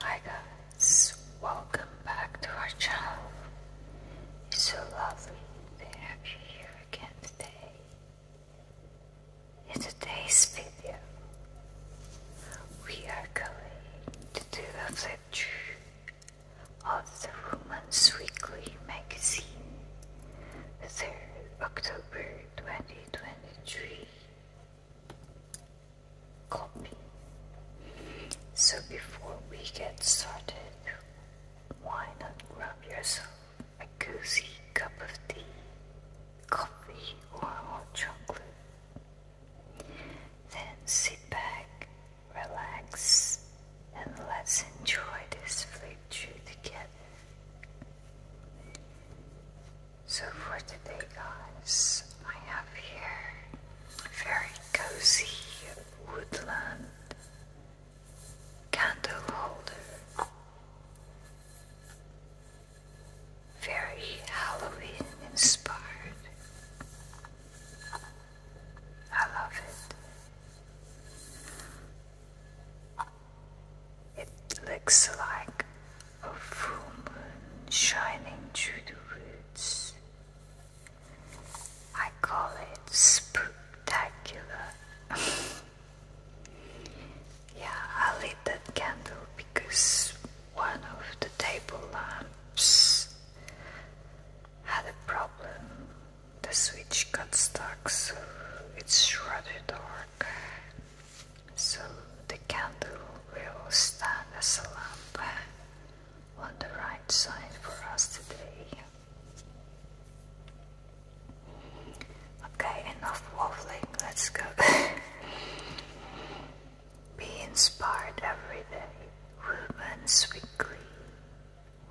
Hi guys, welcome back to our channel. It's so lovely to have you here again today. In today's video, we are going to do a flip through of the Woman's Weekly magazine, the 3rd October 20. 2023 copy. So before we get started, why not grab yourself a cozy cup of tea, coffee, or hot chocolate? Then sit back, relax, and let's enjoy this flip through together. So for today, guys, I have here a very cozy woodland candle holder. Very Halloween inspired. I love it. It looks like a full moon shining through the woods. I call it spectacular. yeah, I lit that candle because one of the table lamps had a problem. The switch got stuck, so it's rather dark. So the candle will stand as a lamp on the right side for us today. Okay, enough waffling, let's go. Be inspired every day. Women's Weekly.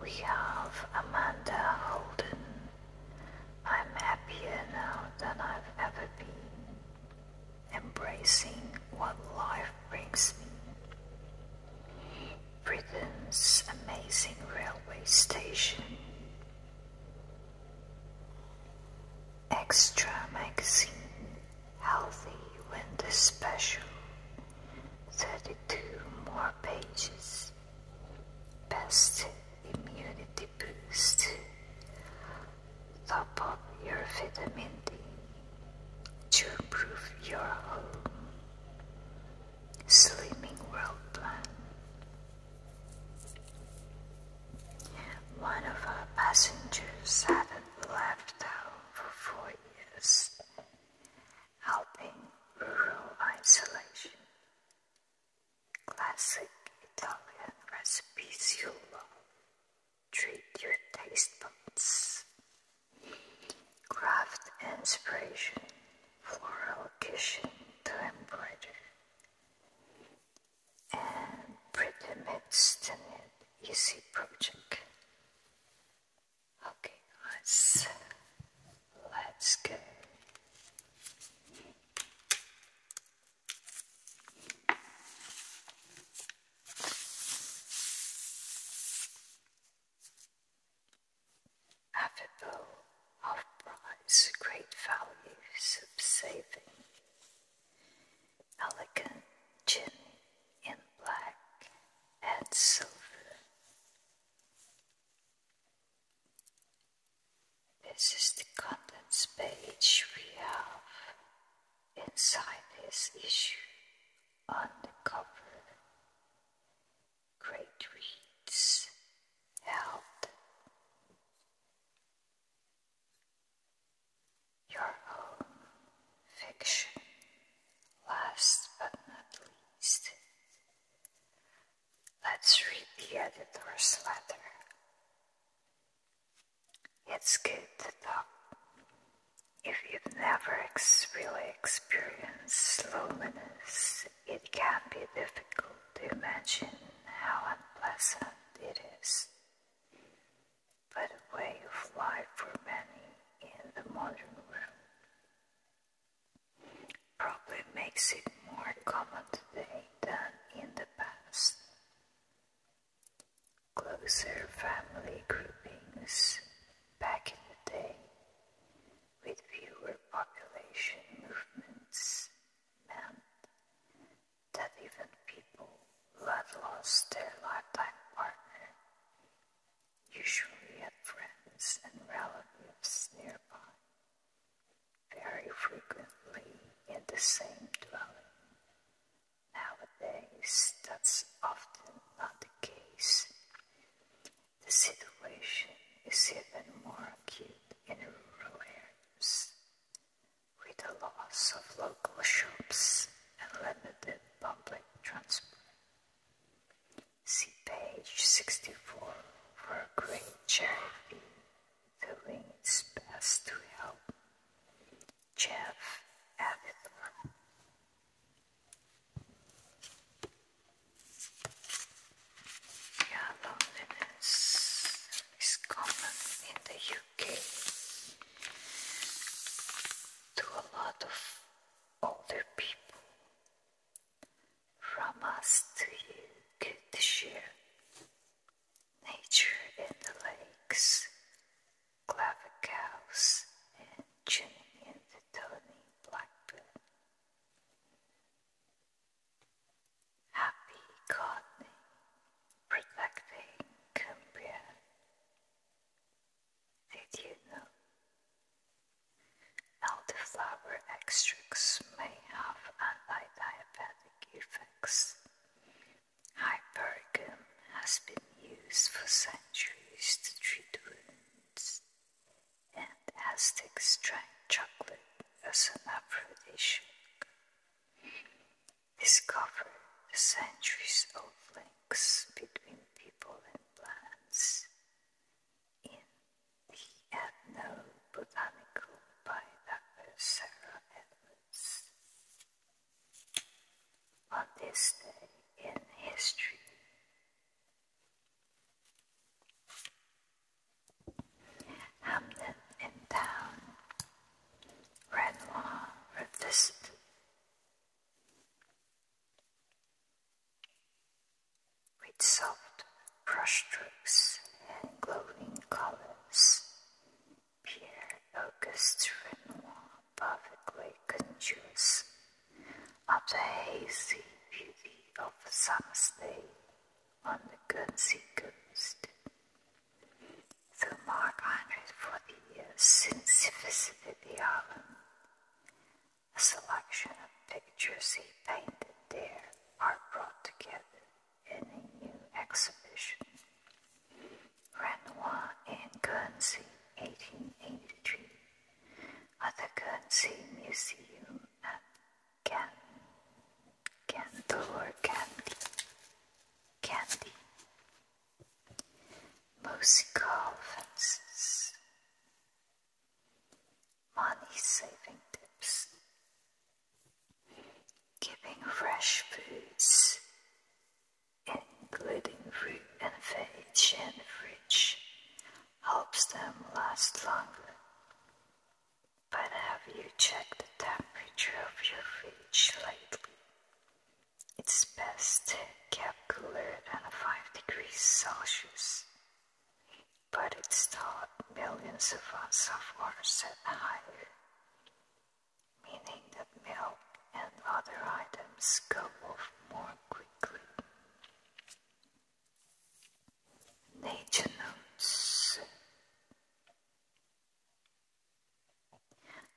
We have Amanda Holden. I'm happier now than I've ever been, embracing what life brings me. Britain's amazing railway station. Extra magazine, healthy winter special, 32 more pages. Best immunity Boost. up your vitamin D to prove your home. Slimming World One of our passengers hadn't left town for four years, helping rural isolation. Classic Italian recipes you love. Treat your taste buds. Craft inspiration, floral kitchen to embroider, and pretty midst to an easy project. Okay, guys, let's go. Affable, of price, great value, sub-saving, elegant gin in black and silver, this is the contents page we have inside this issue on the cover. Great reads help your own fiction. Last but not least, Let's read the editor's letter. It's good to talk. If you've never really experienced loneliness, it can be difficult to imagine how unpleasant it is. But a way of life for many in the modern world probably makes it more common today than in the past. Closer family groupings back in the day, with fewer population movements, meant that even people who had lost their lifetime partner usually had friends and relatives nearby very frequently in the same dwelling. Nowadays, that's often not the case. The situation is even more acute in rural areas, with the loss of local shops and limited public transport. See page 64 for a great charity doing its best to help. Jeff Avithorn. Yeah, loneliness is common in the UK to a lot of older people from us to you good share. Nature in the lakes, clever cows, and tuning in the tony blackbird. Happy gardening, protecting Cumbria. Did you know? Elderflower extracts may have anti-diabetic the Hypericum has been used for centuries to treat wounds and Aztecs drank chocolate as an aphrodisiac. Discover the centuries old links between people and plants in he had no botanical biographer Sarah Edwards. On this day in history, Hamden in town, Renoir revisited. With soft brush strokes and glowing colors. Pierre Auguste Renoir, perfectly conscious of the hazy beauty of a summer's day on the Guernsey coast. Though Mark Hundred for the since he visited the island, a selection of pictures he painted there are brought together in a new exhibition. Renoir in Guernsey, 1883, at the Guernsey Museum at Can Cantor Candy. Candy. Musical fences money saving tips, Giving fresh foods, including fruit and veg in fridge, helps them last longer. But have you checked the temperature of your fridge lately? It's best kept cooler than 5 degrees Celsius but it's taught millions of us upwards and high, meaning that milk and other items go off more quickly. Nature notes.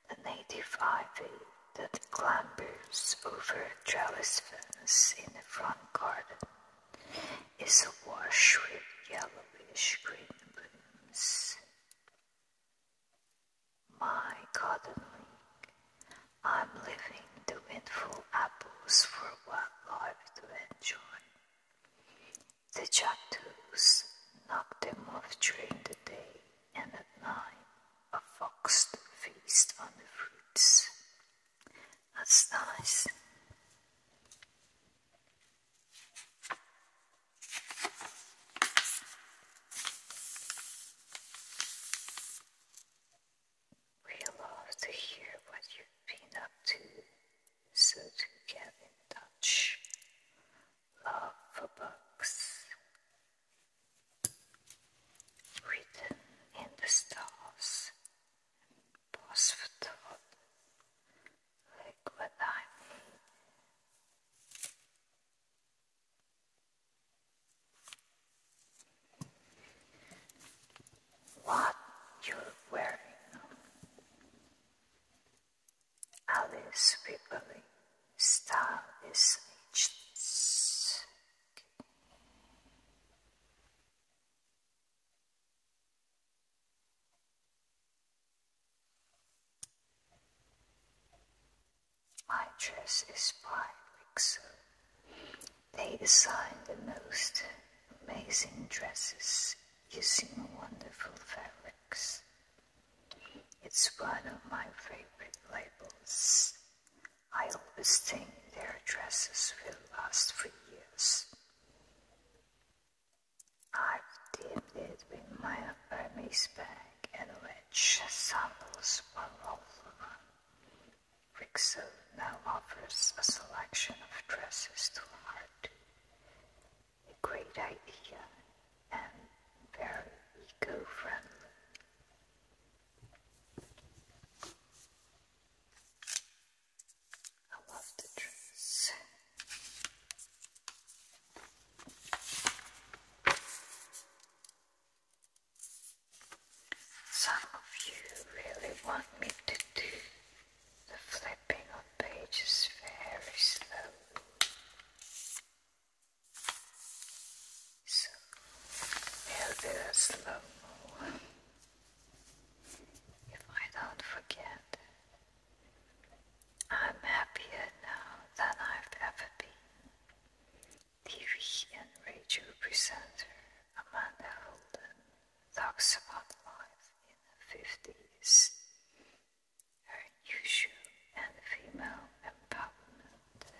The native ivy that clambers over a trellis fence in the front garden is wash with yellowish green blooms. My gardening, I'm leaving the windfall apples for wildlife to enjoy. The jackdaws knock them off during the day and at night a fox to feast on the fruits. That's nice. We love to hear what you've been up to, so to get in touch. Love for books. Written in the stars, pause for like what time? What you're wearing? Alice Ripley style is ageless. My dress is by Rixo. They design the most amazing dresses using wonderful fabrics. It's one of my favorite labels. I always think their dresses will last for years. I've dipped it with my verme's bag and which samples were overrun. Rixo now offers a selection of dresses to heart. A great idea and very eco-friendly. I love the trees. Some of you really want me to do the flipping of pages very slowly. So we'll slow If I don't forget, I'm happier now than I've ever been. TV and radio presenter Amanda Holden talks about life in the 50s, her new and female empowerment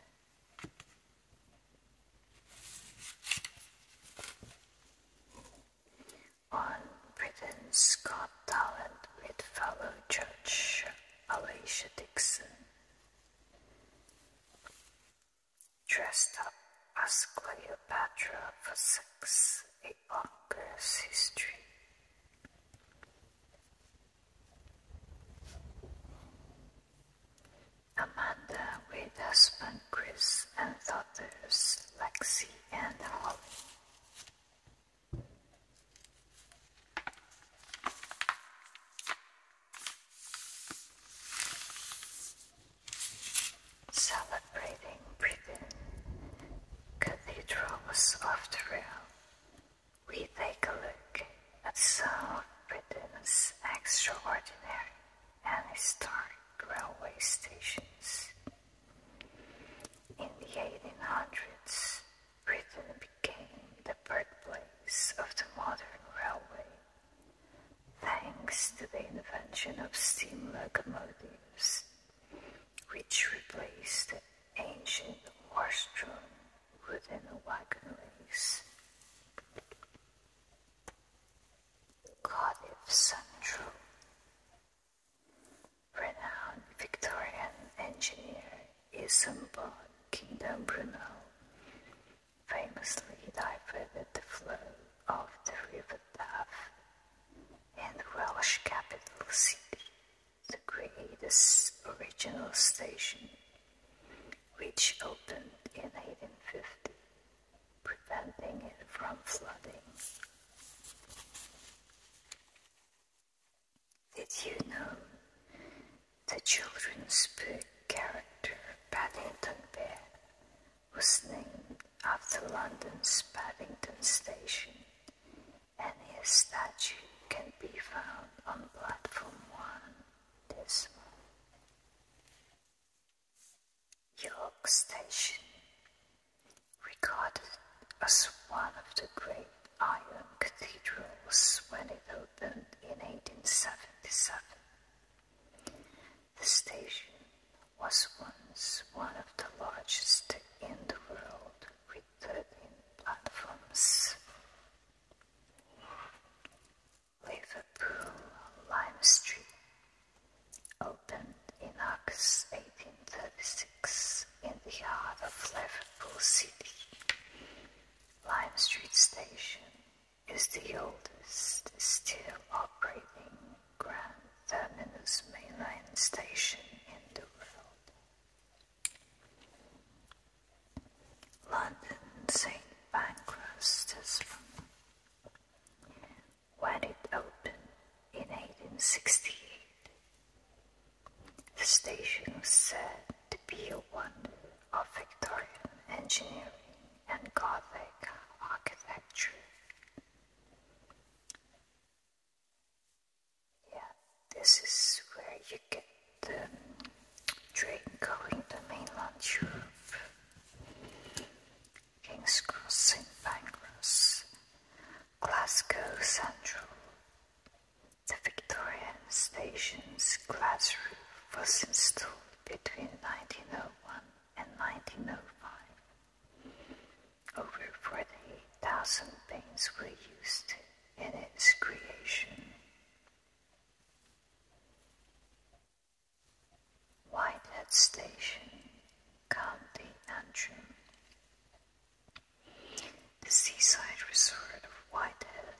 on Britain's Got Talent with fellow judge Alicia Dixon. Dressed up as Cleopatra for sex, a bonkers history. Amanda with husband Chris and daughters Lexi and the uh, whole thing. Celebrating Britain, cathedrals of the we take a look at some of Britain's extraordinary and historic railway stations. In the 1800s, Britain became the birthplace of the modern railway, thanks to the invention of steam locomotives, which replaced the ancient horse-drawn wooden wagon race. Cardiff Central Renowned Victorian engineer Isambard Kingdom Brunel famously diverted the flow of the River Taff and the Welsh capital city to create its original station, which opened in 1850 preventing it from flooding. Did you know the children's book character Paddington Bear was named after London's Paddington Station and his statue can be found on platform 1 this month? York Station, regarded as one of the great iron cathedrals when it opened in 1877. The station was once one of the largest in the world with 13 platforms. Liverpool Lime Street opened in August 1836 in the heart of Liverpool City. Lime Street Station is the oldest still operating Grand Main Line station in the world. London St. Pancras, Tasman when it opened in 1868. The station was said to be a wonder of Victorian engineering and Gothic architecture. Yeah, this is where you get the train going to mainland Europe. King's Cross, St Pancras, Glasgow Central. The Victorian station's glass roof was installed between 1901 and 1905. Over 48,000 paints were used in its creation. Whitehead Station, County Antrim. The seaside resort of Whitehead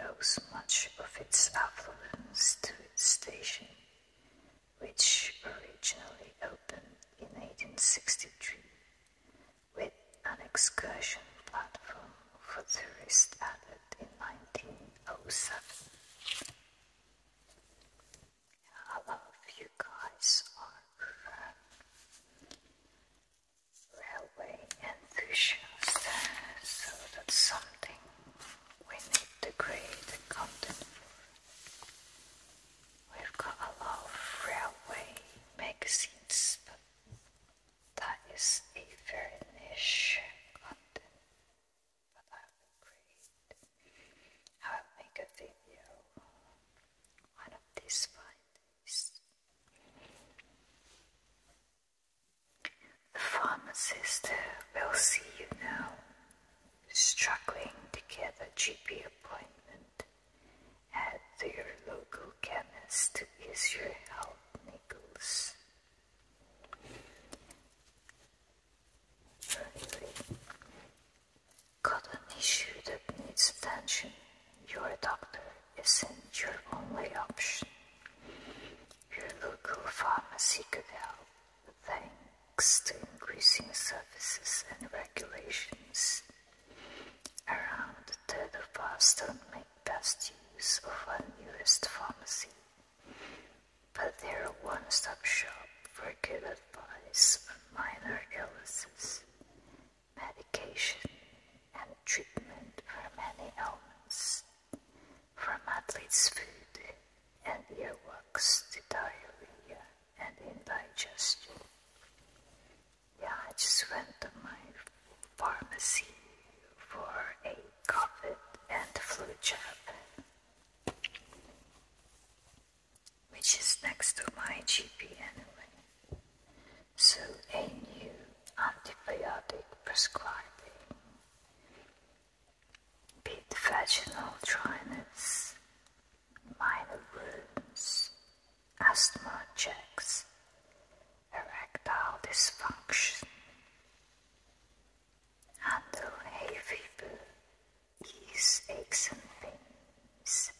owes much of its affluence to the station, which originally opened in 1863 with an excursion platform for tourists added in 1907. I love you guys are railway enthusiasts, so that's something we need to create content for. We've got a lot of railway magazines, but that is a very niche content. I will make a video one of these five days. The pharmacist will see you now, struggling to get a GP appointment at your local chemist to ease your health niggles. Got an issue that needs attention. Your doctor isn't your only option. Your local pharmacy could help, thanks to increasing services and regulations. Around a third don't make best use of our newest pharmacy, but they're a one-stop shop for good advice minor illnesses, medication, and treatment for many ailments, from athlete's food and earwax to diarrhea and indigestion. Yeah, I just went to my pharmacy for a COVID and flu jab which is next to my GP anyway. So a new antibiotic prescribing, Bit vaginal dryness, minor wounds, asthma checks, erectile dysfunction, handle hay fever, these aches, and fins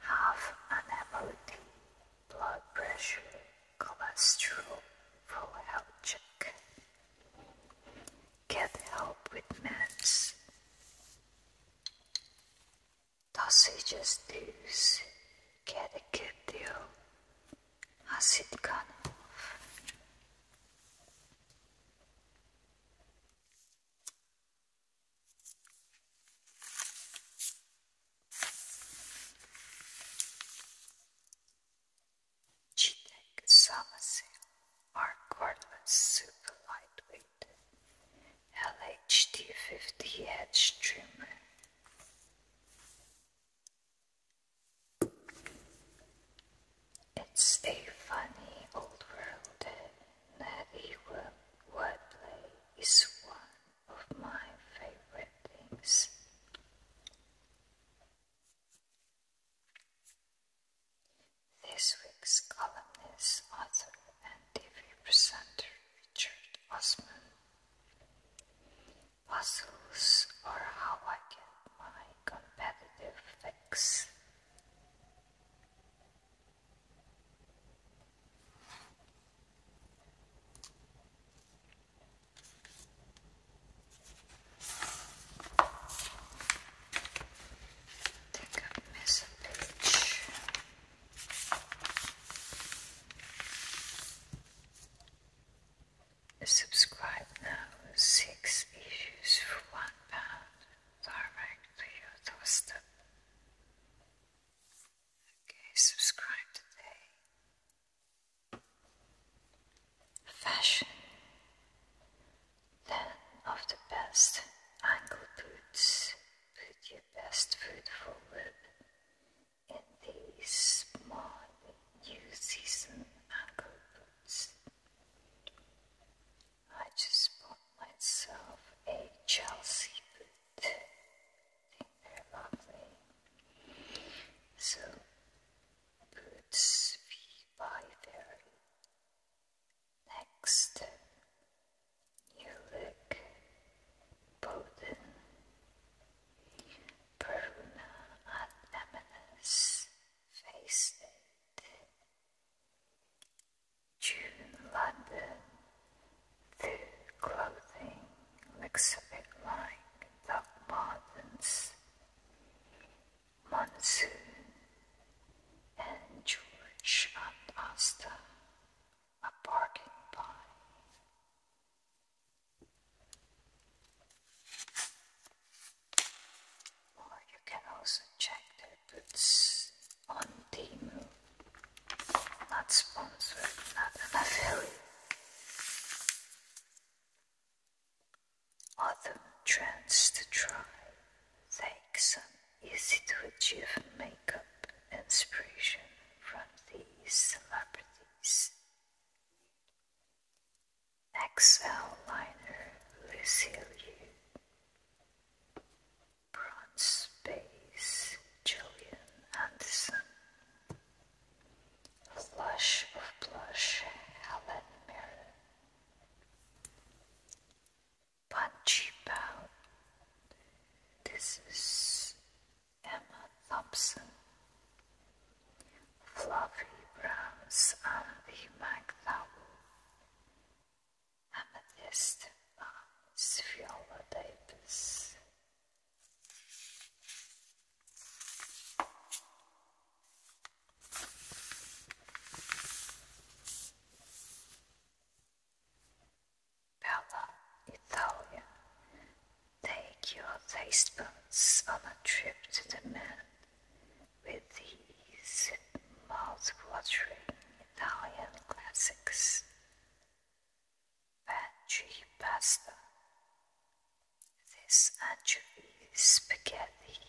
have an MOD, blood pressure, cholesterol, full health check. Get help with meds. Sausages dues. Get a good deal. Has it gone off? Chitek Samasil are cordless super lightweight LHD50 hedge trimmer. It's a funny old world, and even wordplay is one of my favorite things. This week's columnist, author, and TV presenter Richard Osman. Puzzles are how I get my competitive fix. Think a page. Subscribe now. Six issues for one pound direct to your doorstep. Okay, subscribe today. Fashion 10 of the best ankle boots. Put your best foot forward in these small new season ankle boots. I just bought myself a Chelsea boot. think they're lovely. So, boots we buy there. Next, you look Bowden, Peruna and Eminence Face June London, the clothing looks a bit like the Martins, Monsoon and George and Asta are barking by or you can also check their goods on Temu. Not sponsored, not an affiliate. Autumn trends to try. Take some easy to achieve makeup inspiration from these celebrities. Next, liner Lucille Yu Bronze Space, Julian Anderson. Flush of Blush, Helen Mirren. Punchy Bound. This is Emma Thompson. Fluffy Browns and the amethyst um, is viola Davis. Bella, Italia. Take your taste buds on a trip to the moon with these mouth-watering Italian classics. Veggie pasta. This anchovy spaghetti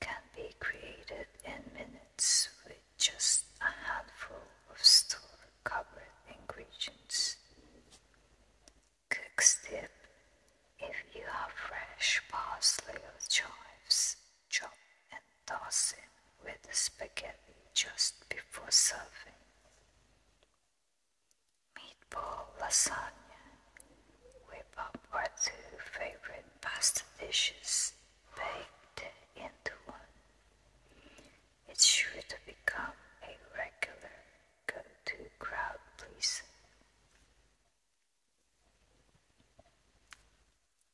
can be created in minutes with just a handful of store-covered ingredients. Cook dip if you have fresh parsley or chives chop and toss in with the spaghetti just before serving. Meatball lasagna. Whip up our two favorite pasta dishes baked into one. It's sure to become a regular go-to crowd pleaser.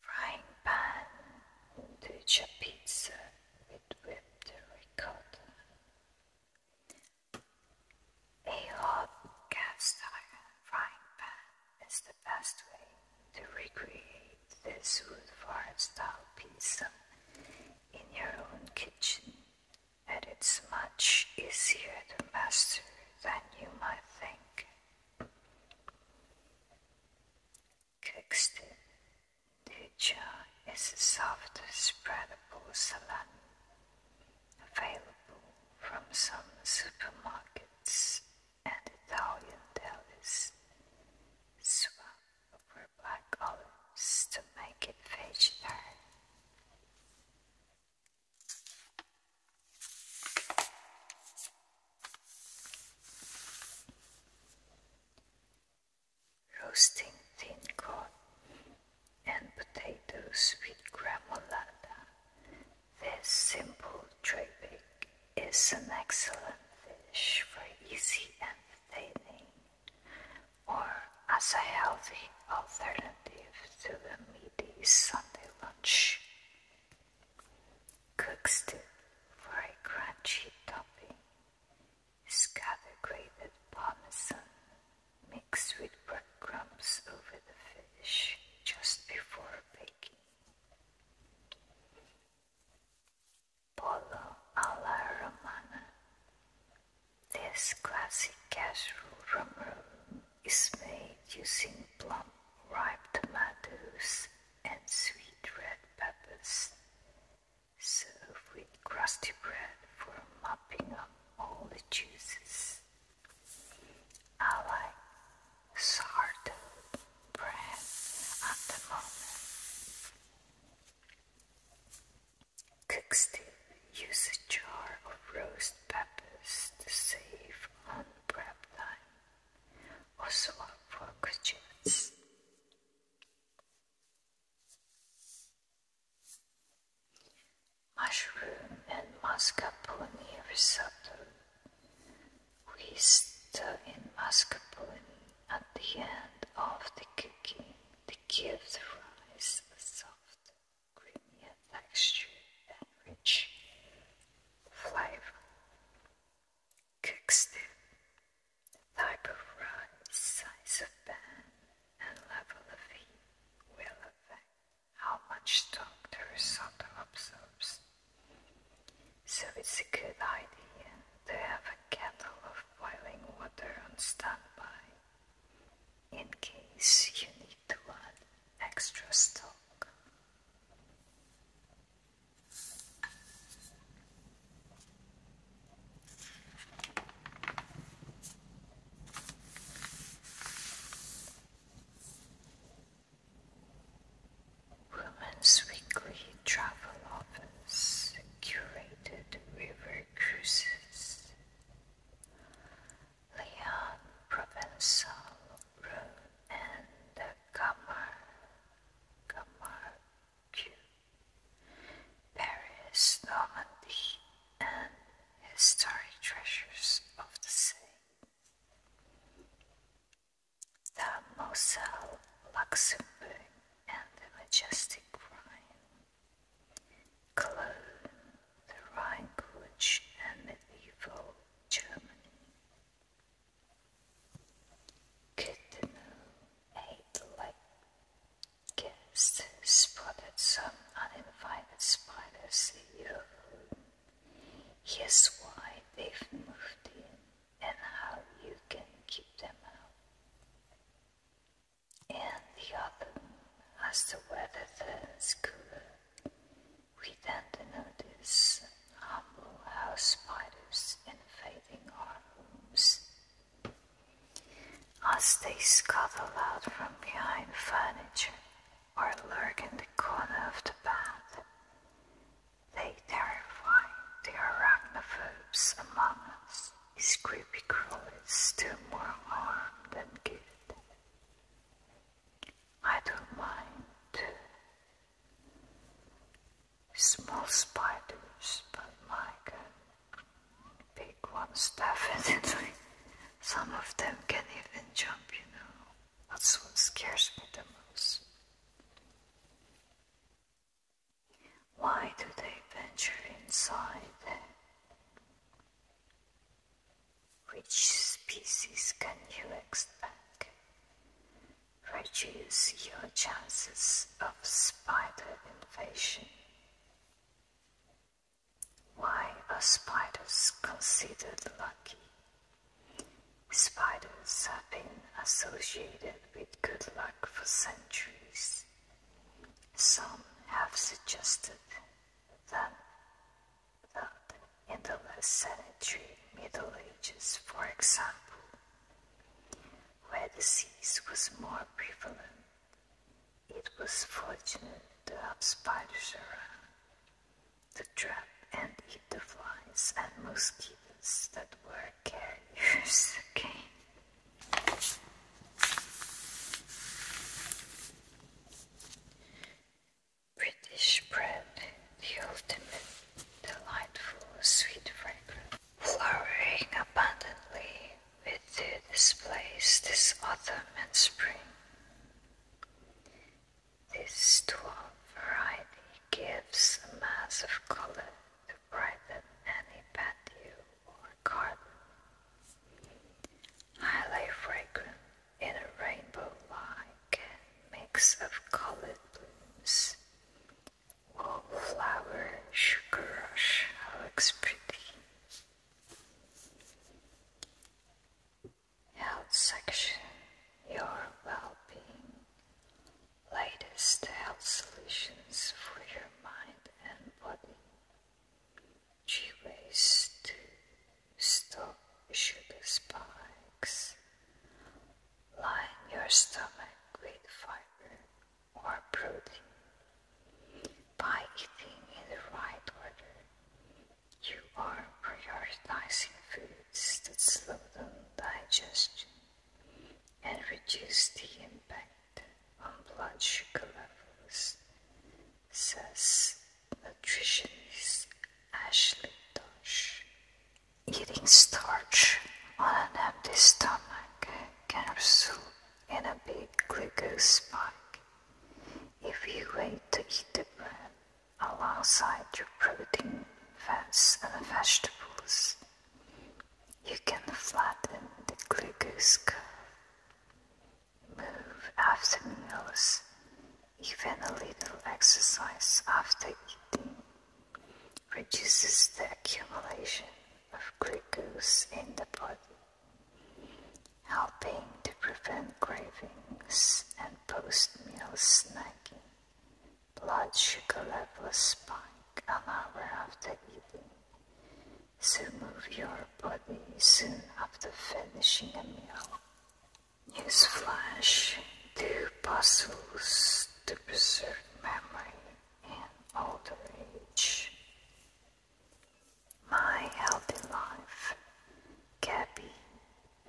Frying pan touch a pizza with whipped ricotta. A hot cast iron frying pan is the best way to recreate this wood fire style pizza in your own kitchen, and it's much easier to master than you might think. Texture is a soft, spreadable salami available from some supermarkets and Italian delis. Swap over black olives to make it vegetarian. Roasting thin cod and potatoes with gramolata. This simple trabic is an excellent fish for easy entertaining, or as a healthy alternative to the meaty Sunday lunch. Cooks for a crunchy topping. Scatter grated parmesan mixed with breadcrumbs over the fish just before baking. Polo alla romana. This classic casserole from Rome is made using plum, ripe tomatoes, and sweet red peppers. Serve with crusty bread for mopping up all the juices. I like sourdough bread at the moment. Cook still use a jar of roast peppers to save on prep time, also for graduates. Mushroom and mascarpone risotto. We stir in mascarpone at the end of the cooking the gift a soft creamy texture and rich flavor. Cooks the type of rice, size of pan, and level of heat will affect how much stock the risotto absorbs. So it's a good idea to have a kettle of boiling water on standby in case you need to add extra stock. Women's Weekly Travel Office curated river cruises. Leon Provençal room and the Gamar, Gamar Paris, Normandy, and historic treasures of the city. The Moselle, Luxembourg, and the majestic Rhine. Cologne, the Rhine-Kutsch and medieval Germany. Kittenau, eight like guests, spotted some uninvited spiders in your room. Here's why they've moved in and how you can keep them out. And the autumn, as the weather turns cooler, we then notice humble house spiders invading our homes. As they scuttle out from behind furniture or lurk in the corner of the bath, they terrify the arachnophobes among us. These creepy crawlers do more harm than good. I don't mind small spiders, but my big ones definitely. Some of them can even jump, you know. That's what scares me the most. Why do they venture inside? Which species can you expect? Reduce your chances of spider invasion. Why are spiders considered lucky? Spiders have been associated with good luck for centuries. Some have suggested that London in the less sanitary Middle Ages, for example, where disease was more prevalent. It was fortunate to have spiders around to trap and eat the flies and mosquitoes that were carriers. okay. British bread, the ultimate delightful sweet fragrance, flowering abundantly with their displays this autumn and spring. This dwarf variety gives a mass of color to brighten any patio or garden. Highly fragrant in a rainbow-like mix of colored blooms. Wallflower, sugar rush, looks pretty. Health section, your well-being, latest health solutions for your mind and body. G Stop sugar spikes. Line your stomach with fiber or protein. By eating in the right order, you are prioritizing foods that slow down digestion and reduce the impact on blood sugar levels says nutritionist Ashley Dodge. Eating starch on an empty stomach can result in a big glucose spike. If you wait to eat the bread alongside your protein, fats, and vegetables, you can flatten the glucose curve. Move after meals even a little exercise after eating reduces the accumulation of glucose in the body, helping to prevent cravings and post-meal snacking. Blood sugar levels spike an hour after eating, so move your body soon after finishing a meal use flash to puzzles to preserve memory in older age. My healthy life, Gabby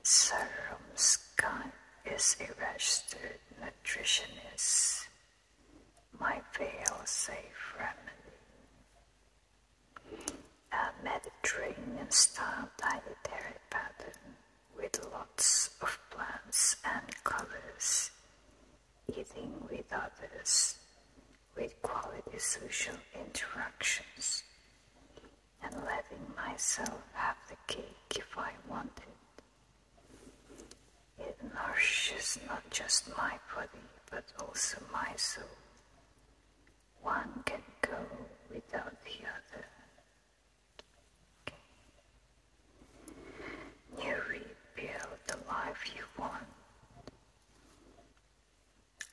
Serum Scott is a registered nutritionist. My fail-safe remedy a Mediterranean style dietary pattern with lots of plants and colors, eating with others, with quality social interactions, and letting myself have the cake if I wanted. It nourishes not just my body but also my soul. One can go without the other. Okay. You rebuild the life you want.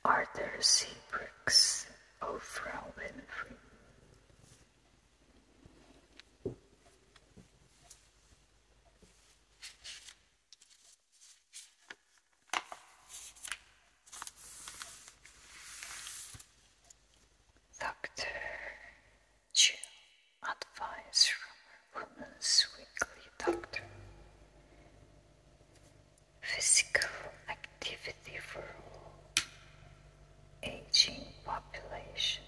Arthur Seabrooks, Oprah Winfrey. Doctor Chill advice from Women's Weekly Doctor. Physical activity for all aging population.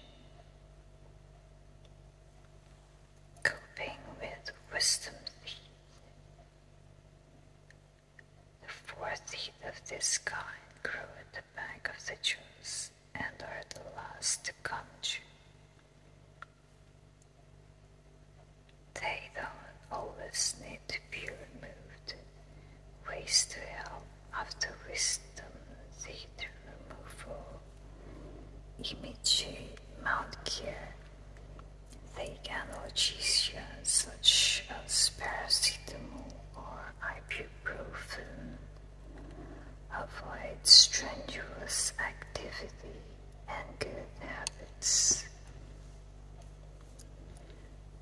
Coping with wisdom teeth. The fourth heat of this kind grew at the back of the trees and are the last to come to. They don't always need to be removed. Ways to help after wisdom, see the removal. Image, Mount Care, they cannot use such as paracetamol or ibuprofen. Avoid strenuous activity and good habits.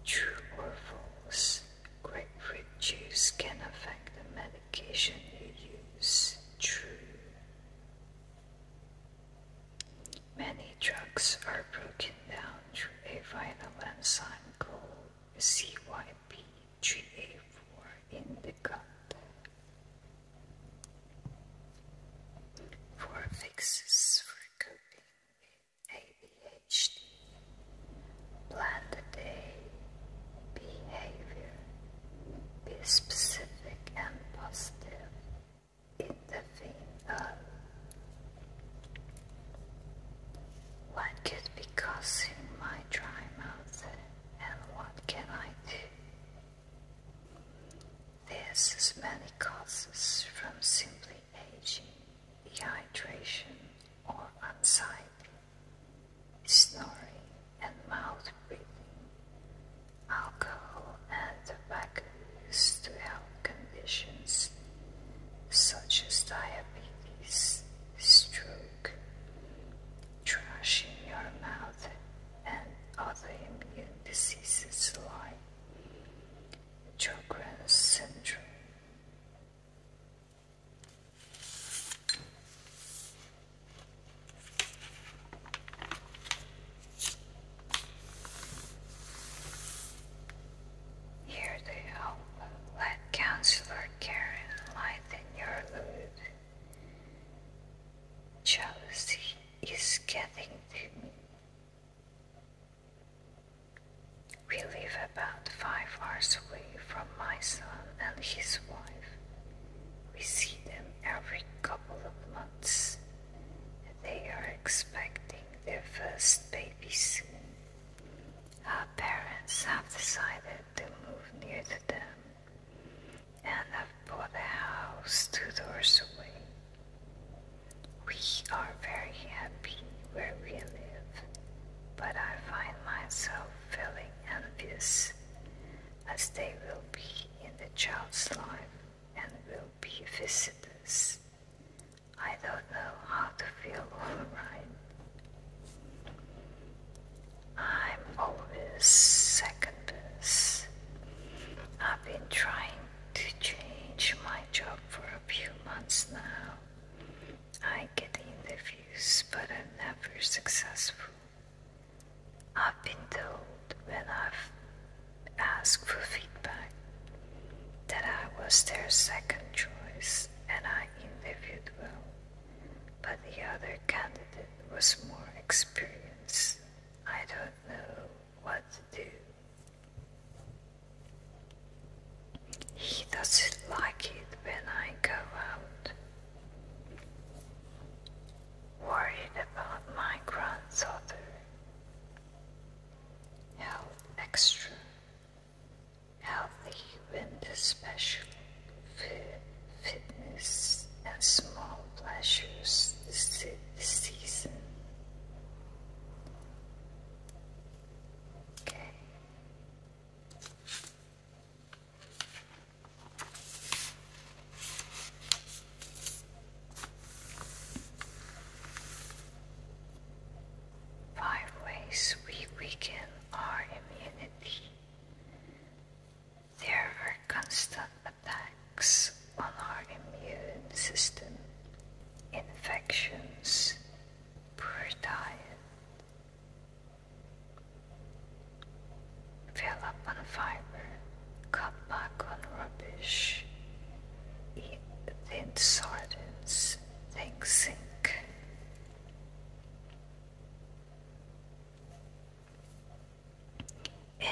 True or false, grapefruit juice can affect the medication you use. True. Many drugs are broken down through a vinyl enzyme called CYP3A4 in the gut. For fixes for coping with ADHD, plan the day, behavior, be specific and positive in the final. What could be causing my dry mouth and what can I do? There's as many causes from simply aging, dehydration or anxiety, snoring and mouth breathing, alcohol and tobacconist to help conditions such as diabetes, stroke, trash in your mouth, and other immune diseases like Sjogren's syndrome. Here they hope, let Counselor Karen lighten your mood. Jealousy is getting to me. We live about five hours away from my son and his wife. We see them every couple of months. They are expecting their first baby babies. Her parents have decided to move near to them and have bought a house two doors away. We are very happy where we live, but I find myself feeling envious as they will be in the child's life and will be visitors I don't know how to feel alright. I'm always second best. I've been trying to change my job for a few months now. I get interviews, but I'm never successful. I've been told when I've Ask for feedback, that I was their second choice and I interviewed well, but the other candidate was more experienced. I don't know what to do. He doesn't like it when I go out. Worried about my granddaughter health extra, healthy and special, fitness and small pleasures this season. Okay. Five ways we weaken our immunity. There are constant attacks on our immune system, infections, poor diet. Fill up on fiber, cut back on rubbish, eat thin sardines, they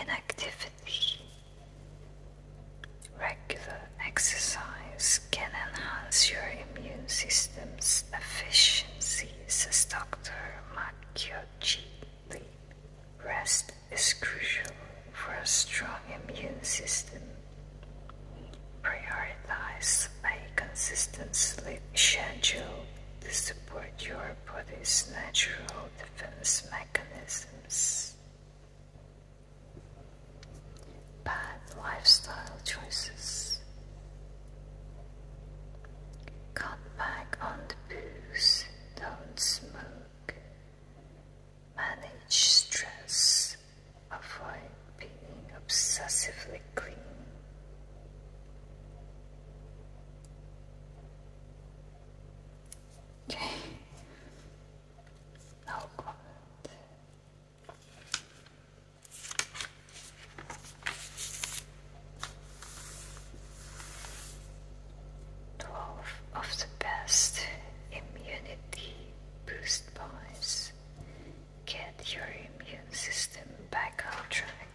Inactivity. Regular exercise can enhance your immune system's efficiency, says Dr. Makyoji. Rest is crucial for a strong immune system. Prioritize a consistent sleep schedule to support your body's natural defense mechanisms. Bad lifestyle choices. Cut back on the booze, don't smoke, manage stress, avoid being obsessively clean. Okay, no comment. Twelve of the best immunity boost boys. Get your immune system back on track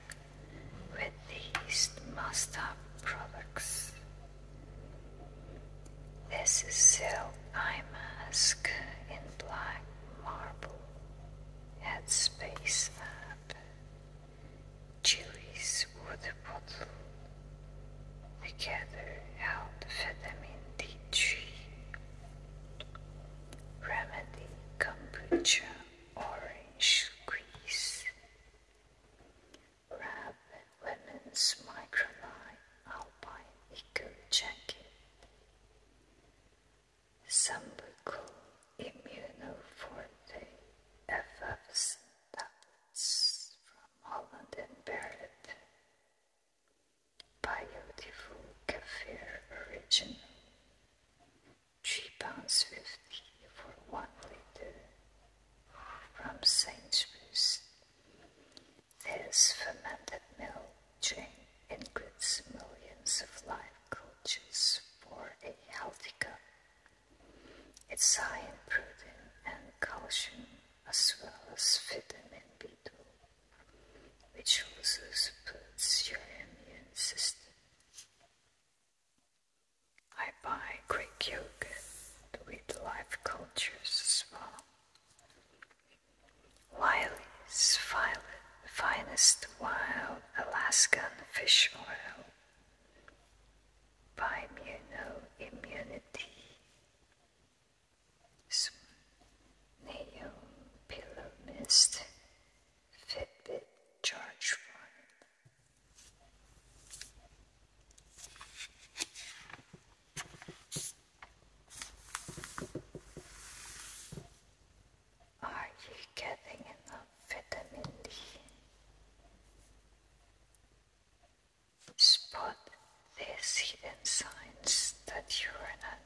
with these must-have products. This is silk eye mask in black marble. Headspace app. Chewy's water bottle they gather out in the tree. remedy kombucha orange squeeze, wrap women's microline alpine eco jacket, sambuco immunoforte effervescent tablets from Holland and Barrett. Beautiful Kaffir original. Three pounds fifty for one liter from Saint Sainsbury's. This fermented milk drink includes millions of live cultures for a healthy cup. It's high in protein and calcium as well as vitamin B2, which also supports your immune system. I buy Greek yogurt with life cultures as well. Wiley's Finest Wild Alaskan Fish Oil by no Immunity Nail Pillow Mist Fitbit Charge One. Are you getting enough vitamin D? spot these hidden signs that you are not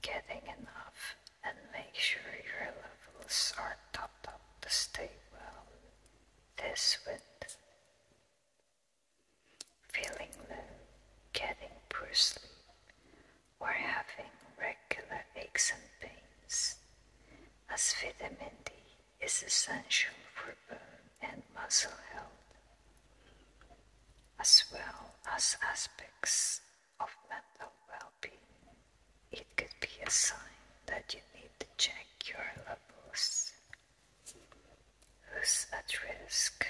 getting enough and make sure your levels are topped up to stay well. This with feeling low, getting poor sleep, or having regular aches and pains, as vitamin D is essential for bone and muscle health, as well as aspects of mental well being. It could be a sign that you need to check your levels. Who's at risk?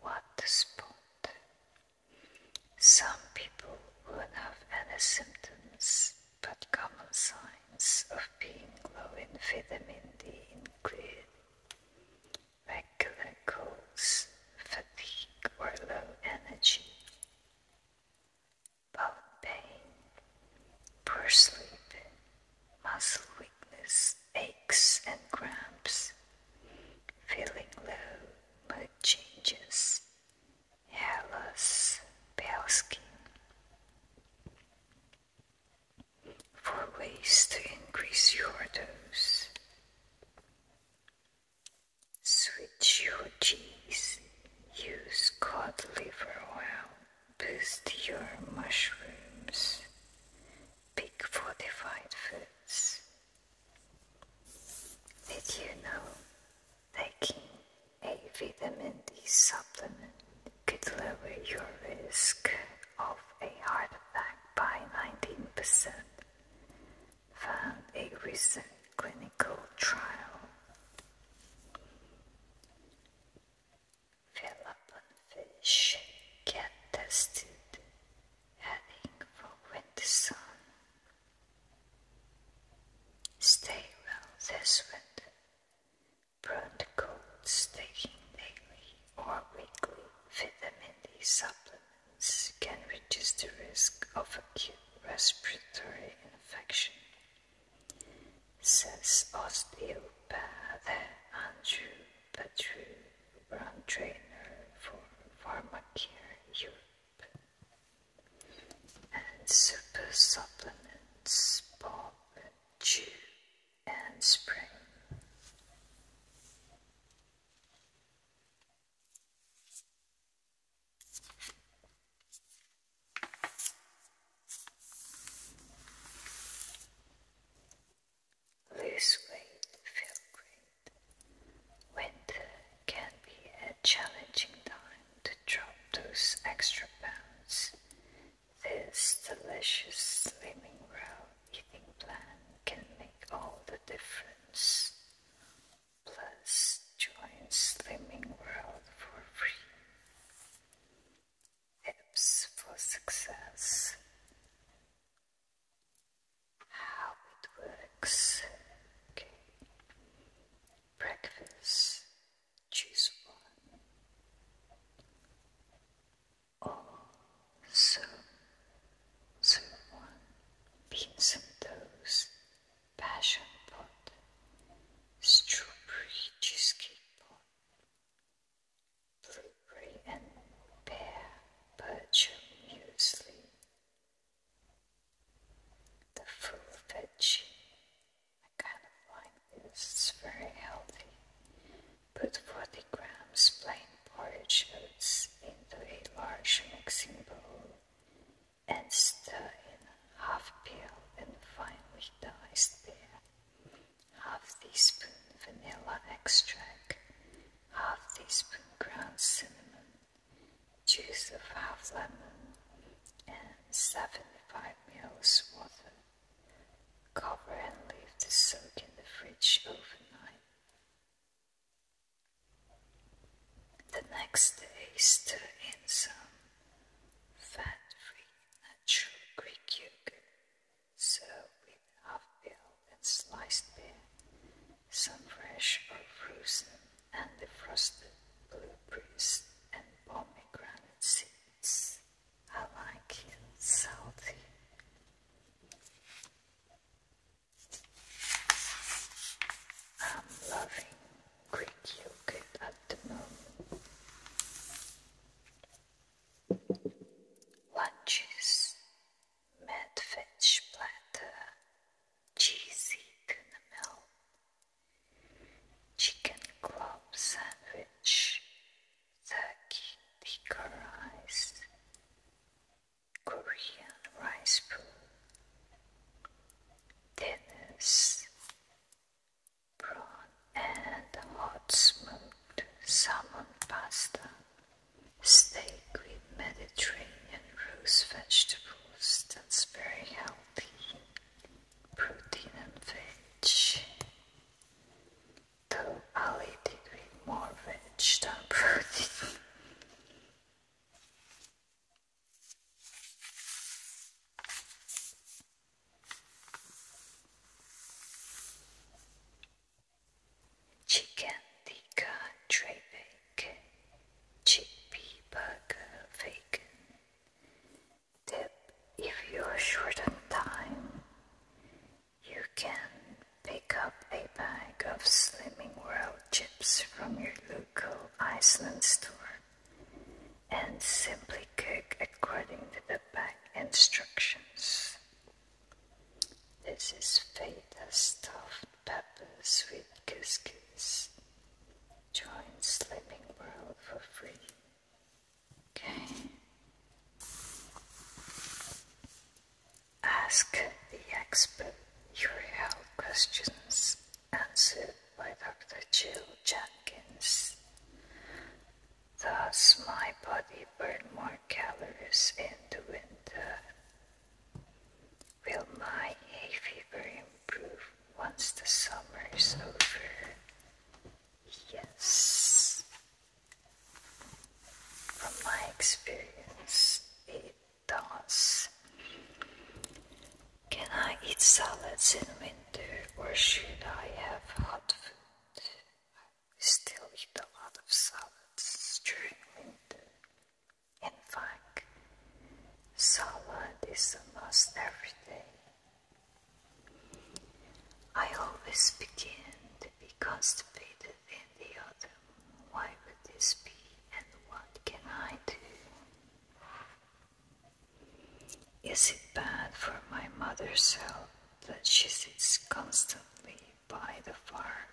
What to spot? Some people won't have any symptoms, but common signs of being low in vitamin D include regular fatigue or low energy, bone pain, poor sleep, muscle weakness, aches and cramps, feeling low, mood changes, hairless, pale skin for ways to increase your dose. Switch your cheese, use cod liver oil, boost your mushrooms, pick fortified foods. Did you know taking a vitamin D supplement could lower your risk of a heart attack by 19%, From a recent clinical trial. Philip and Fish get tested heading for winter sun. Stay well this winter Protocols taking daily or weekly vitamin D supplements can reduce the risk of acute respiratory infection, says osteopath Andrew Petru, brand trainer for Pharmacare Europe, and super supplements Bob Chu and spring. Lose weight, feel great. Winter can be a challenging time to drop those extra pounds this delicious slimming World eating plan can make all the difference. Plus, join Slimming World for free. Tips for success. How it works. Breakfast. Choose one also someone Vincent Toes, Passion Pot, Strawberry Cheesecake Pot, Blueberry and Pear Bircher Muesli, the full veggie. I kind of like this, very healthy. Put 40 grams plain porridge oats into a large mixing bowl and stir in half peeled and finely diced pear, half teaspoon vanilla extract, half teaspoon ground cinnamon, juice of half lemon, and 75 ml water. Cover and leave the soak in the fridge overnight. The next day, stir in some fat-free natural Greek yogurt, serve with half-peeled and sliced pear, some fresh or frozen and defrosted blueberries and pomegranate seeds. I like salty. I'm loving Greek yogurt at the moment. Lunches, mad cheesy tuna milk, chicken club sandwich, Sakidika rice, Korean rice bowl, dinners, prawn and hot smoked salmon pasta, steak with Mediterranean roast vegetables that's very healthy, protein and veg. Though Ali did eat more veg than protein. Chicken tikka tray bacon, chickpea burger bacon. Tip if you're short on time, you can pick up a bag of Slimming World chips from your local Iceland store and simply cook according to the back instructions. This is feta stuffed peppers with couscous. Join Slimming World for free Okay. Ask the expert your health questions answered by Dr. Jill Jenkins. Does my body burn more calories in the winter. Will my hay fever improve once the summer is over? Yes. From my experience, it does. Can I eat salads in winter or should I have hot food? I still eat a lot of salads during winter. In fact, salad is almost every day I always begin to be constipated in the autumn. Why would this be and what can I do? Is it bad for my mother's health that she sits constantly by the fire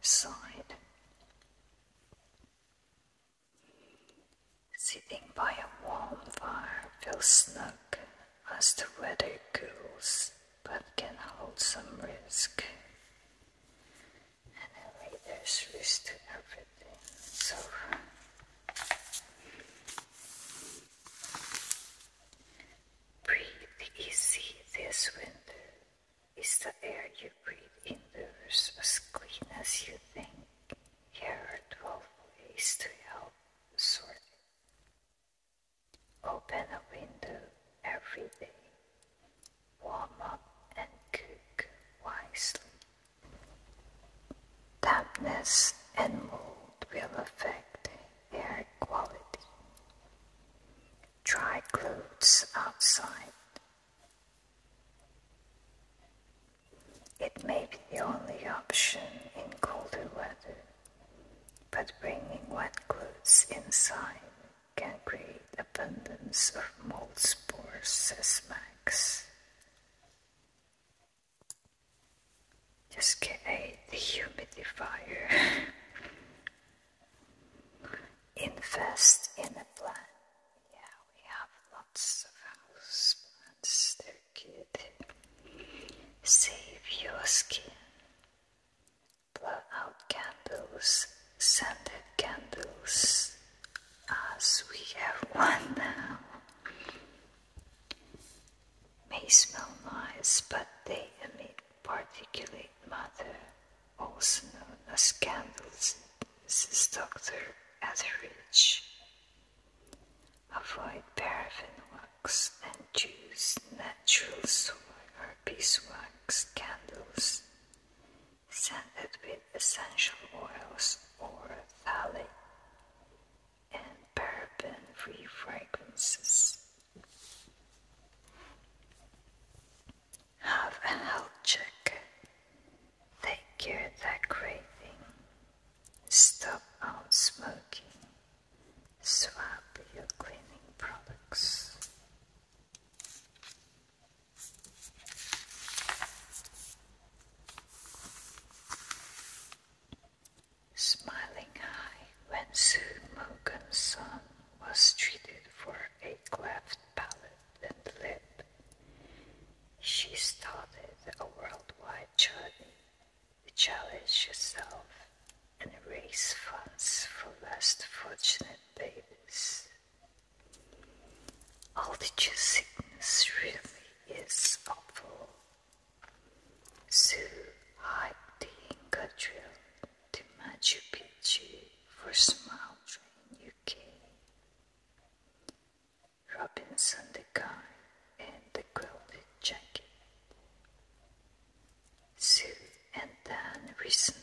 side? Sitting by a warm fire feels snug as the weather cools, but can hold some risk. Anyway, there's risk everything, so breathe easy this winter. Is the air you breathe indoors as clean as you think? Here are 12 ways to help sort it. Open a window every day. Warm up and cook wisely. Dampness and mold will affect air quality. Dry clothes outside. It may be the only option in colder weather but bringing wet clothes inside can create abundance of mold spores, says Max. Just get a dehumidifier. Invest in a plant. Yeah, we have lots of house plants. Save your skin. Blow out candles, scented candles, as we have one now. May smell nice, but they emit particulate matter, also known as candles. This is Dr. Etheridge. Avoid paraffin wax and choose natural soy or beeswax candles. Scented with essential oils or phthalate and paraben-free fragrances. Have a health check. Take care that craving. Stop out smoking swap your cleaning products. Smiling high when Sue Morgan's son was treated for a cleft palate and lip, she started a worldwide journey challenge yourself and raise funds for less fortunate babies. Altitude sickness really is awful. So hike the Inca Trail to Machu Picchu for small Train UK. Robinson the guy and the quilted jacket. and then recently,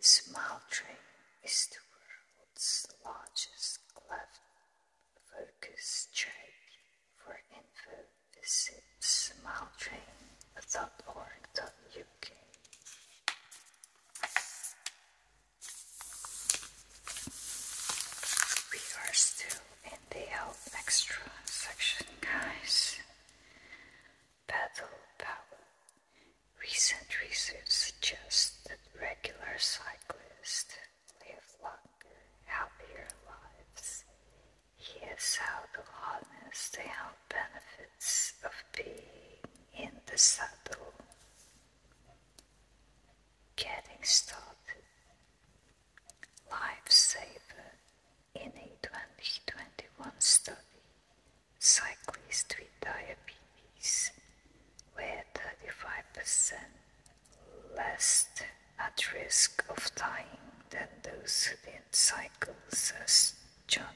Smoldering is the world's largest cleft focus trade for info visit smoldering.org.uk. We are still in the extra section, guys. Battle power. Recent research suggests that regular cyclists live longer, happier lives. Here's how to harness the health benefits of being in the saddle getting started. Lifesaver in a 2021 study, cyclists with diabetes were 35% less at risk of dying than those who didn't cycle, says John.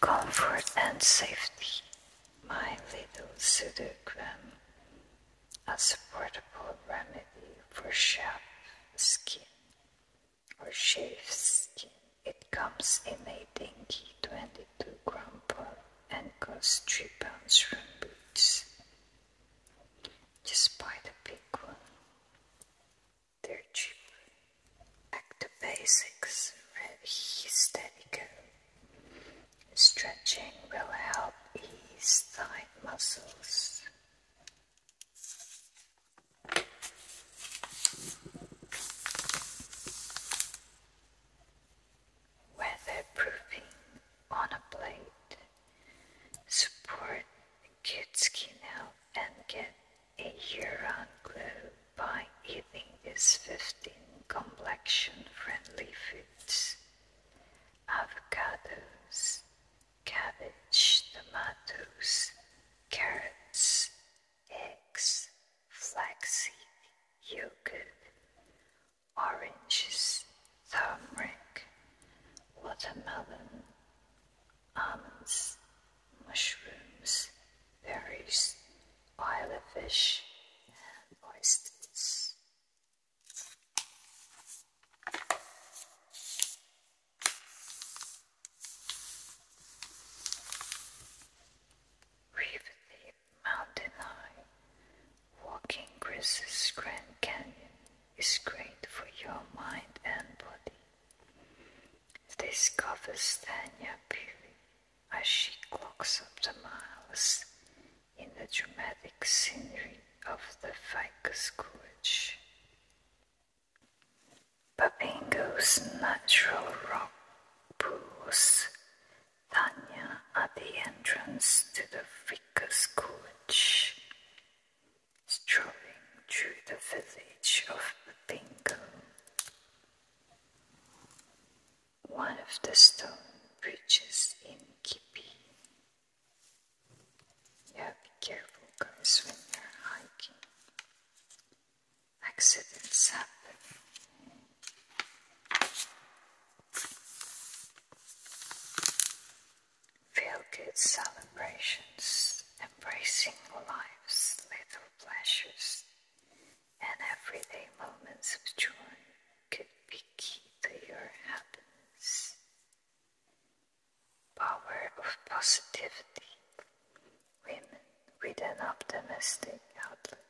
Comfort and safety my little pseudogram, a supportable remedy for sharp skin or shaved skin. It comes in a dinky 22 gram bottle and costs 3 pounds from Boots. Just buy the big one. They're cheap. Back to basics, ready, steady, Stretching will help ease thigh muscles. Weatherproofing on a plate. Support good skin health and get a year glow by eating these 15 complexion friendly foods avocados, cabbage, tomatoes, carrots, eggs, flaxseed, yogurt, oranges, turmeric, watermelon, almonds, mushrooms, berries, fish, and oysters. Riveting Mountain High, walking Chris's Grand Canyon is great for your mind and body. This covers Tanya Peary as she clocks up the miles in the dramatic scenery of the Ficus Gorge. Papingo's natural rock pools Tanya at the entrance to the Ficus Gorge. Strolling through the village of Papingo one of the stone bridges in Kipi. Yeah, be careful guys when you're hiking. Accidents happen. Feel good celebrations, embracing life's little pleasures, and everyday moments of joy could be key to your happiness. Power of positivity. Women with an optimistic outlook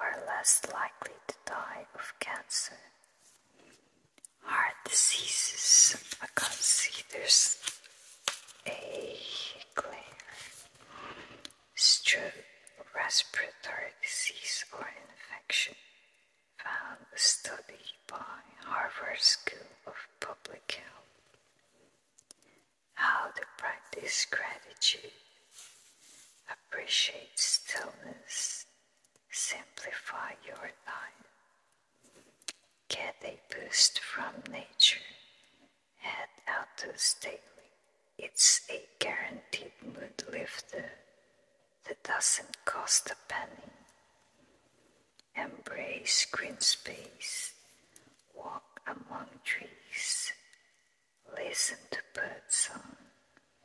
are less likely to die of cancer. Heart diseases are considered a glare strep, respiratory disease or infection, found a study by Harvard School of Public Health. How to practice gratitude, appreciate stillness, simplify your life, get a boost from nature, head out to It's a guaranteed mood lifter that doesn't cost a penny. Embrace green space, walk among trees, listen to birdsong,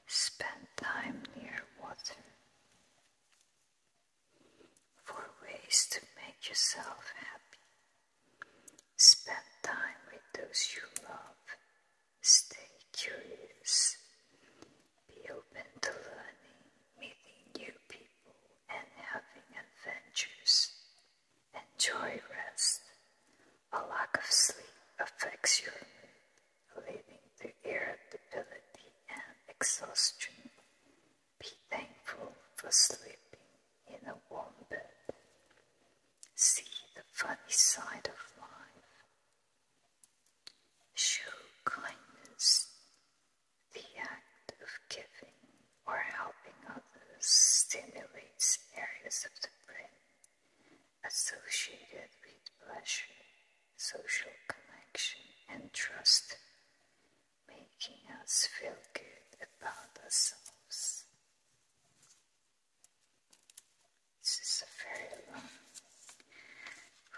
spend time near water. For ways to make yourself happy, Spend time with those you love. Stay curious. Be open to learning, meeting new people, and having adventures. Enjoy rest. A lack of sleep affects your mood, leading to irritability and exhaustion. Be thankful for sleeping in a warm bed see the funny side of life, show kindness, the act of giving or helping others stimulates areas of the brain associated with pleasure, social connection, and trust, making us feel good about ourselves. This is a very long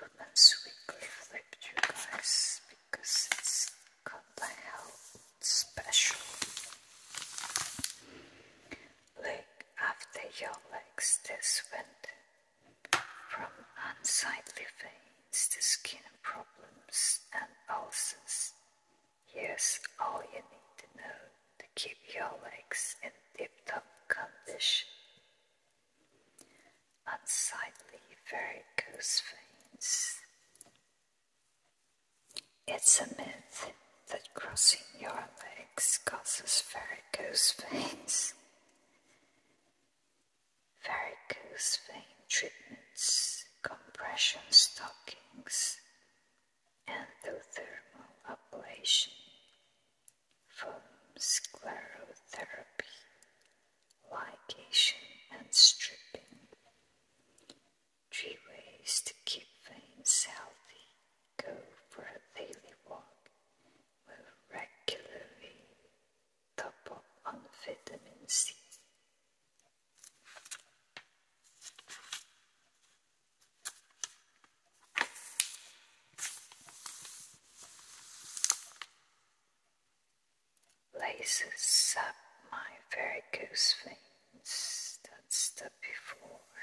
Women's Weekly flip, because it's somehow special. Look after your legs, this went from unsightly veins to skin problems and ulcers Here's all you need to know to keep your legs in tip-top condition. Unsightly varicose veins. It's a myth that crossing your legs causes varicose veins. Varicose vein treatments, compression stockings, endothermal ablation, foam sclerotherapy, ligation and stripping. Three ways to keep veins healthy. Go for a daily walk. Move regularly. Top on vitamin C. Laces up my very goose that's the before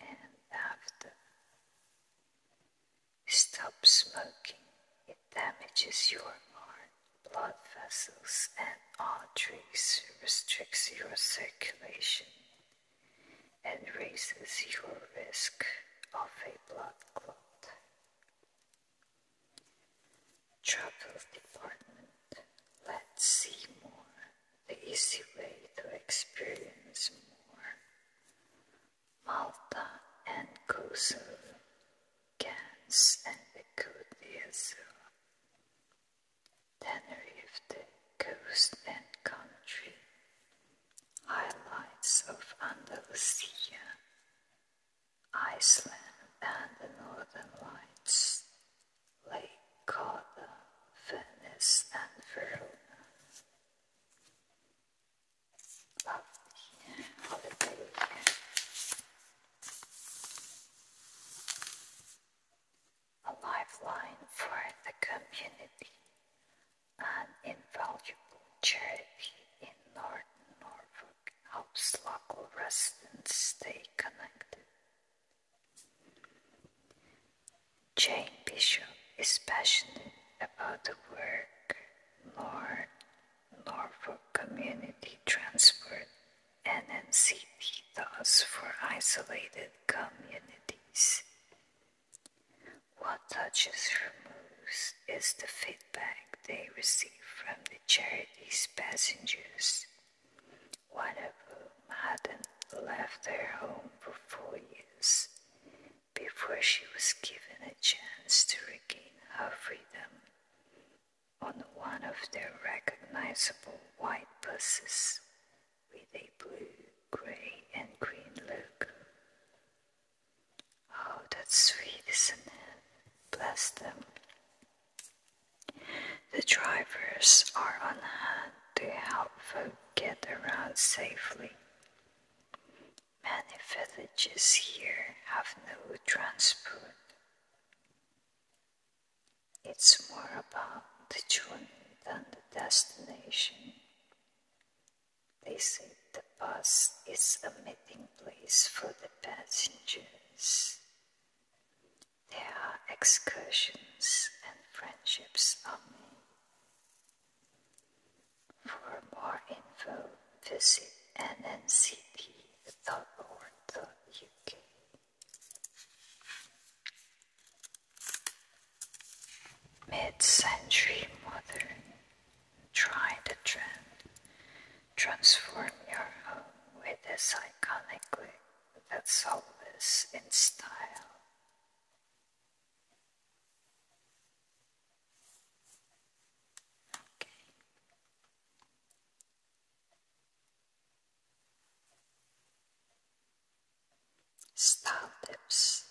and after. Stop smoking, it damages your heart, blood vessels, and arteries, restricts your circulation and raises your risk of a blood clot. Troubles Department, let's see more, the easy way to experience more. Malta and Kosovo, Gans and the Kodiazo. Tenerife, the coast and country, highlights of Andalusia, Iceland and the Northern Lights, Lake Garda, Venice and Verona a lifeline for the community, an invaluable charity in northern Norfolk helps local residents stay connected. Jane Bishop is passionate about the work North Norfolk Community Transport and NCP thus for isolated communities. What Touches removes is the feedback they receive from the charity's passengers, one of whom hadn't left their home for four years before she was given a chance to regain her freedom on one of their recognizable white buses with a blue, grey, and green look. Oh, that's sweet, isn't it? Bless them. The drivers are on hand to help folk get around safely. Many villages here have no transport. It's more about the journey than the destination. They say the bus is a meeting place for the passengers. There are excursions and friendships on made. For more info, visit nncd.org.uk. Mid-century modern. Try the trend. Transform your home with this iconically look that's always in style. Okay. Star tips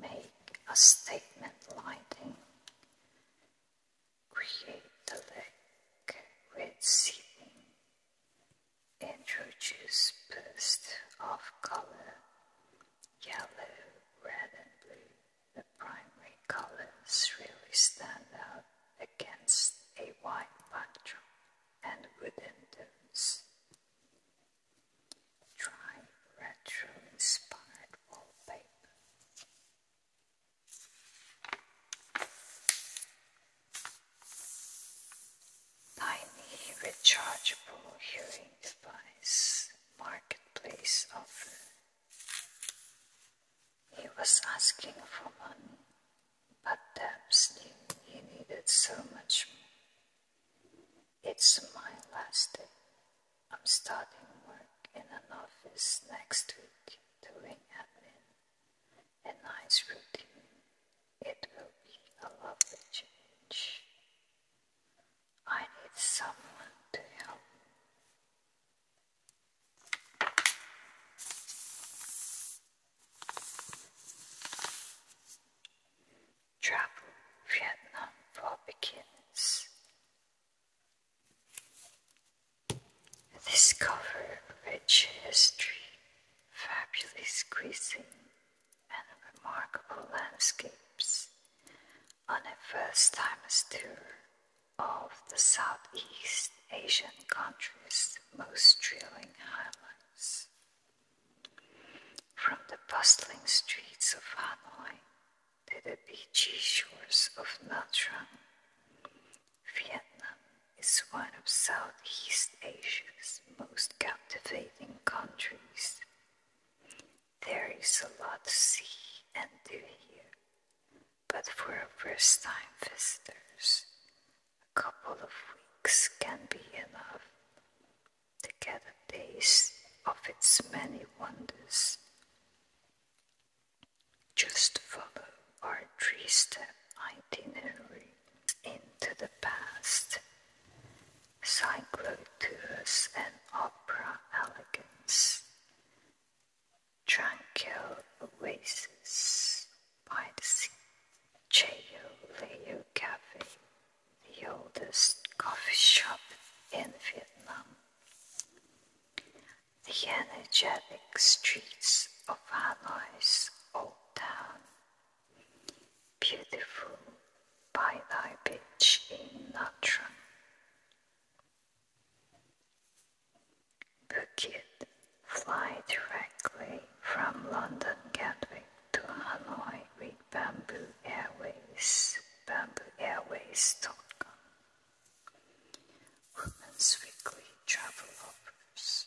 make a statement lighting. Create a lake with seeping. Introduce bursts of color. Yellow, red and blue. The primary colors really stand out against a white backdrop and wooden domes. Dry retro-inspired wallpaper. Tiny rechargeable hearing device marketplace offer. He was asking for money but Debs knew he needed so much more. It's my last day. I'm starting work in an office next week doing admin. A nice routine. It will be a lovely change. I need someone to help Travel Vietnam for Beginners. This cover, rich history, fabulously cuisine, and remarkable landscapes on a first-timer's tour of the Southeast Asian countries' most thrilling highlights. From the bustling streets of Hanoi to the beachy shores of Nha Trang, Vietnam is one of Southeast Asia's most captivating countries. There is a lot to see and do here, but for first time visitors, a couple of weeks can be enough to get a taste of its many wonders. Just follow our three step itinerary into the past. tours and opera elegance. Tranquil oasis by the Cheo Leo Cafe, the oldest coffee shop in Vietnam. The energetic streets of Hanoi's old town, beautiful by thy beach in Natron. Bukit Fly directly from London Gatwick to Hanoi with Bamboo Airways, Bamboo Airways Airways.com. Women's Weekly Travel Offers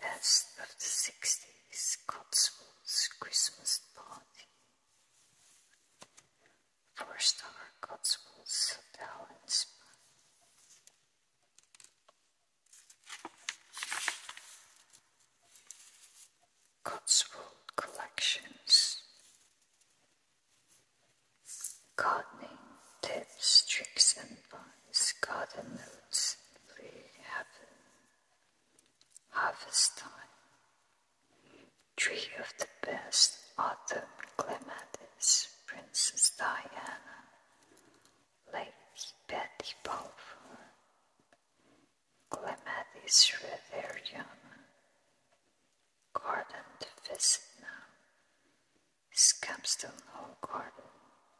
Best of the 60s Cotswolds Christmas Party. Four star Cotswolds Hotel and Spa. Cotswold Collections Gardening tips, tricks and advice, garden notes, play heaven, harvest time, tree of the best, autumn clematis, Princess Diana, Ladies Betty Balfour, Clematis Reverion, Garden visit now, Scampstone Hall Garden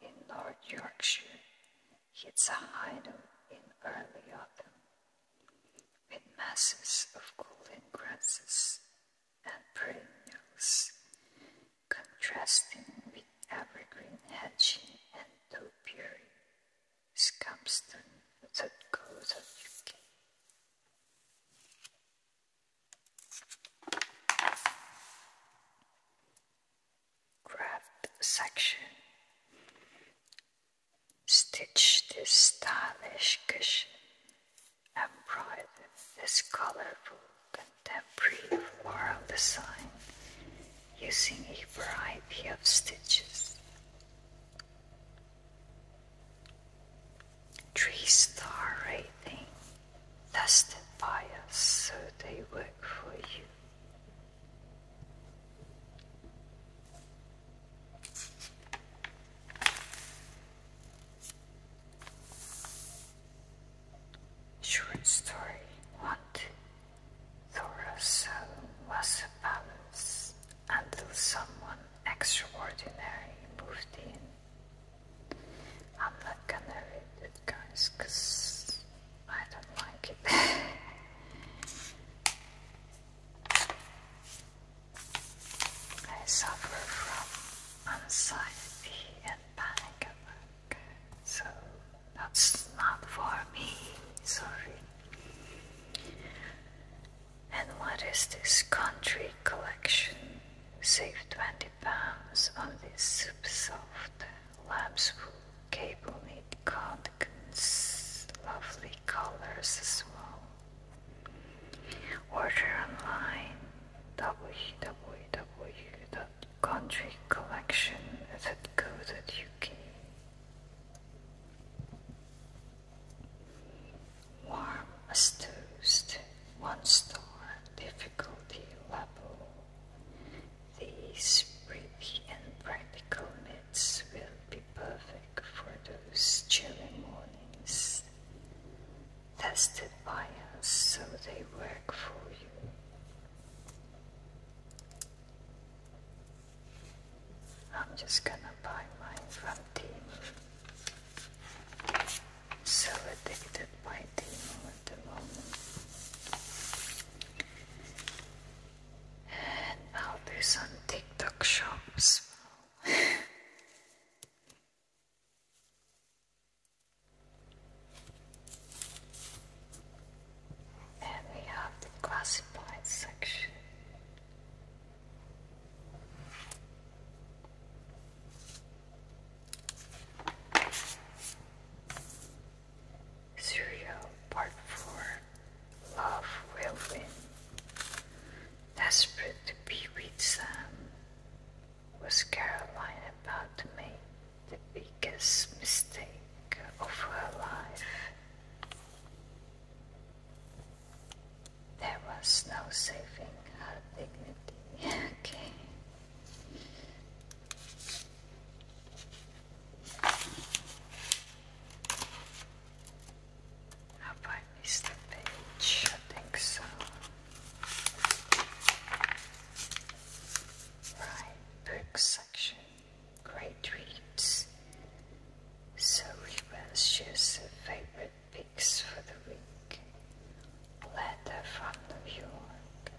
in North Yorkshire hits a hideout in early autumn, with masses of golden grasses and perennials contrasting with evergreen hedging and topiary, scampstone that goes of UK. Craft section. Stitch this stylish cushion and embroider this colorful the brief floral design using a variety of stitches. Three star rating tested by us so they work for you. Short story What? Thorosel was a balance until someone extraordinary moved in. I'm not gonna read it, guys, because I don't like it. I suffer from anxiety and panic so that's not for me, sorry. And what is this country collection? Save 20 pounds on this super soft lambswool cable knit cardigans, lovely colors as well. Order online www country collection that goes at UK. Warm as toast, one star difficulty level. These pretty and practical myths will be perfect for those chilly mornings. Tested by us so they work for you. I'm just gonna buy mine from Team. So addicted to Team at the moment. And I'll do some TikTok shops. And we have the classified section. Serial Part 4 Love Will Win. Desperate to be with Sam, was Caroline about to the biggest mistake of her life. There was no saving her dignity. okay. Have page? I think so. Right book section, great reads. So we Reba shares her favorite picks for the week. Letter from New York.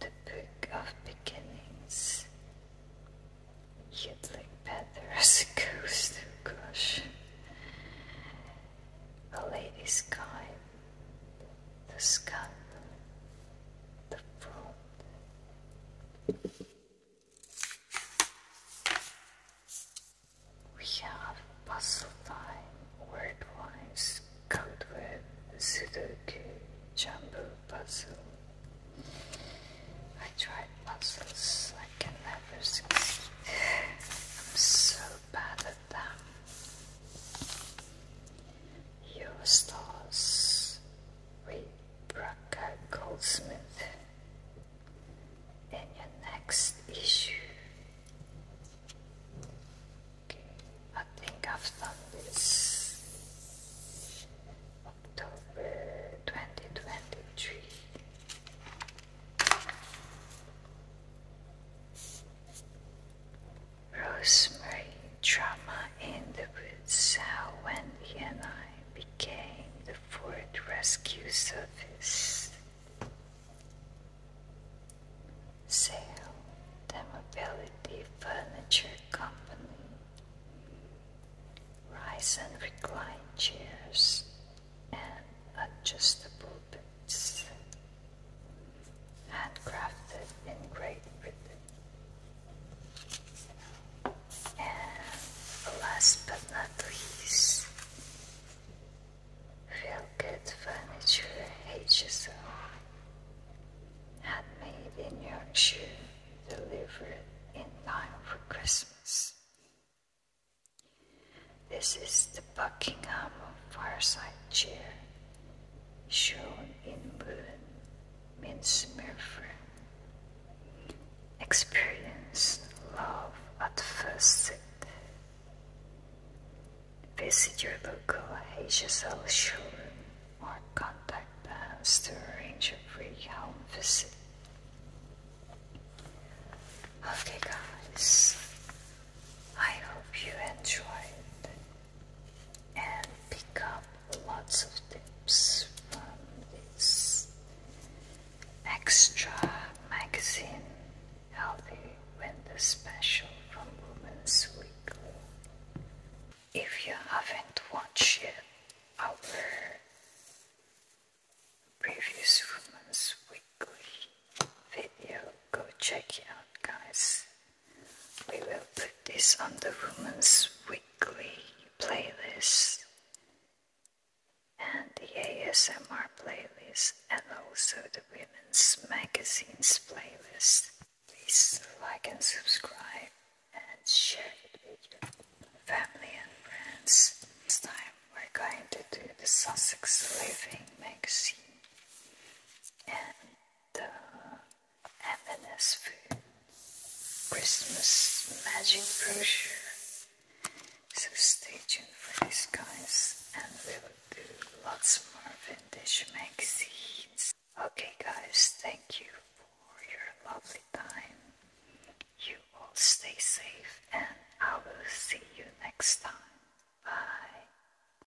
The Book of Beginnings. You'd like better as a ghost, A lady's guide the scalp, the fruit. We have Basiltine, red wines cooked with Zidoki, Jambu Basil. I tried puzzles, I can never succeed. I'm so bad them. stars, with Goldsmith in your next issue. I think i this October 2023. Rosemary Drama in the Woods, how Wendy and I became the Ford Rescue Service. Sale, the Mobility Furniture Company. Rise and recline chairs and adjustable beds handcrafted in Great Britain. And last but not least, Real Good Furniture HSO, handmade in Yorkshire, delivered in time for Christmas. This is the Buckingham fireside chair shown in Moon Mintzmerfer. Experience love at first sight. Visit your local HSL showroom or contact the house to arrange a free home visit. Okay, guys, I hope you enjoyed and pick up lots of tips from this extra magazine Healthy Winter Special from Women's Weekly. If you haven't watched yet our previous Women's Weekly video, go check it out guys. We will put this on the Women's Weekly playlist and the ASMR playlist and also the Women's Magazines playlist. Please like and subscribe and share it with your family and friends. This time we're going to do the Sussex Living magazine the Adventist food, Christmas magic brochure. So stay tuned for this, guys, and we will do lots more vintage magazines. Okay, guys, thank you for your lovely time. You all stay safe, and I will see you next time. Bye.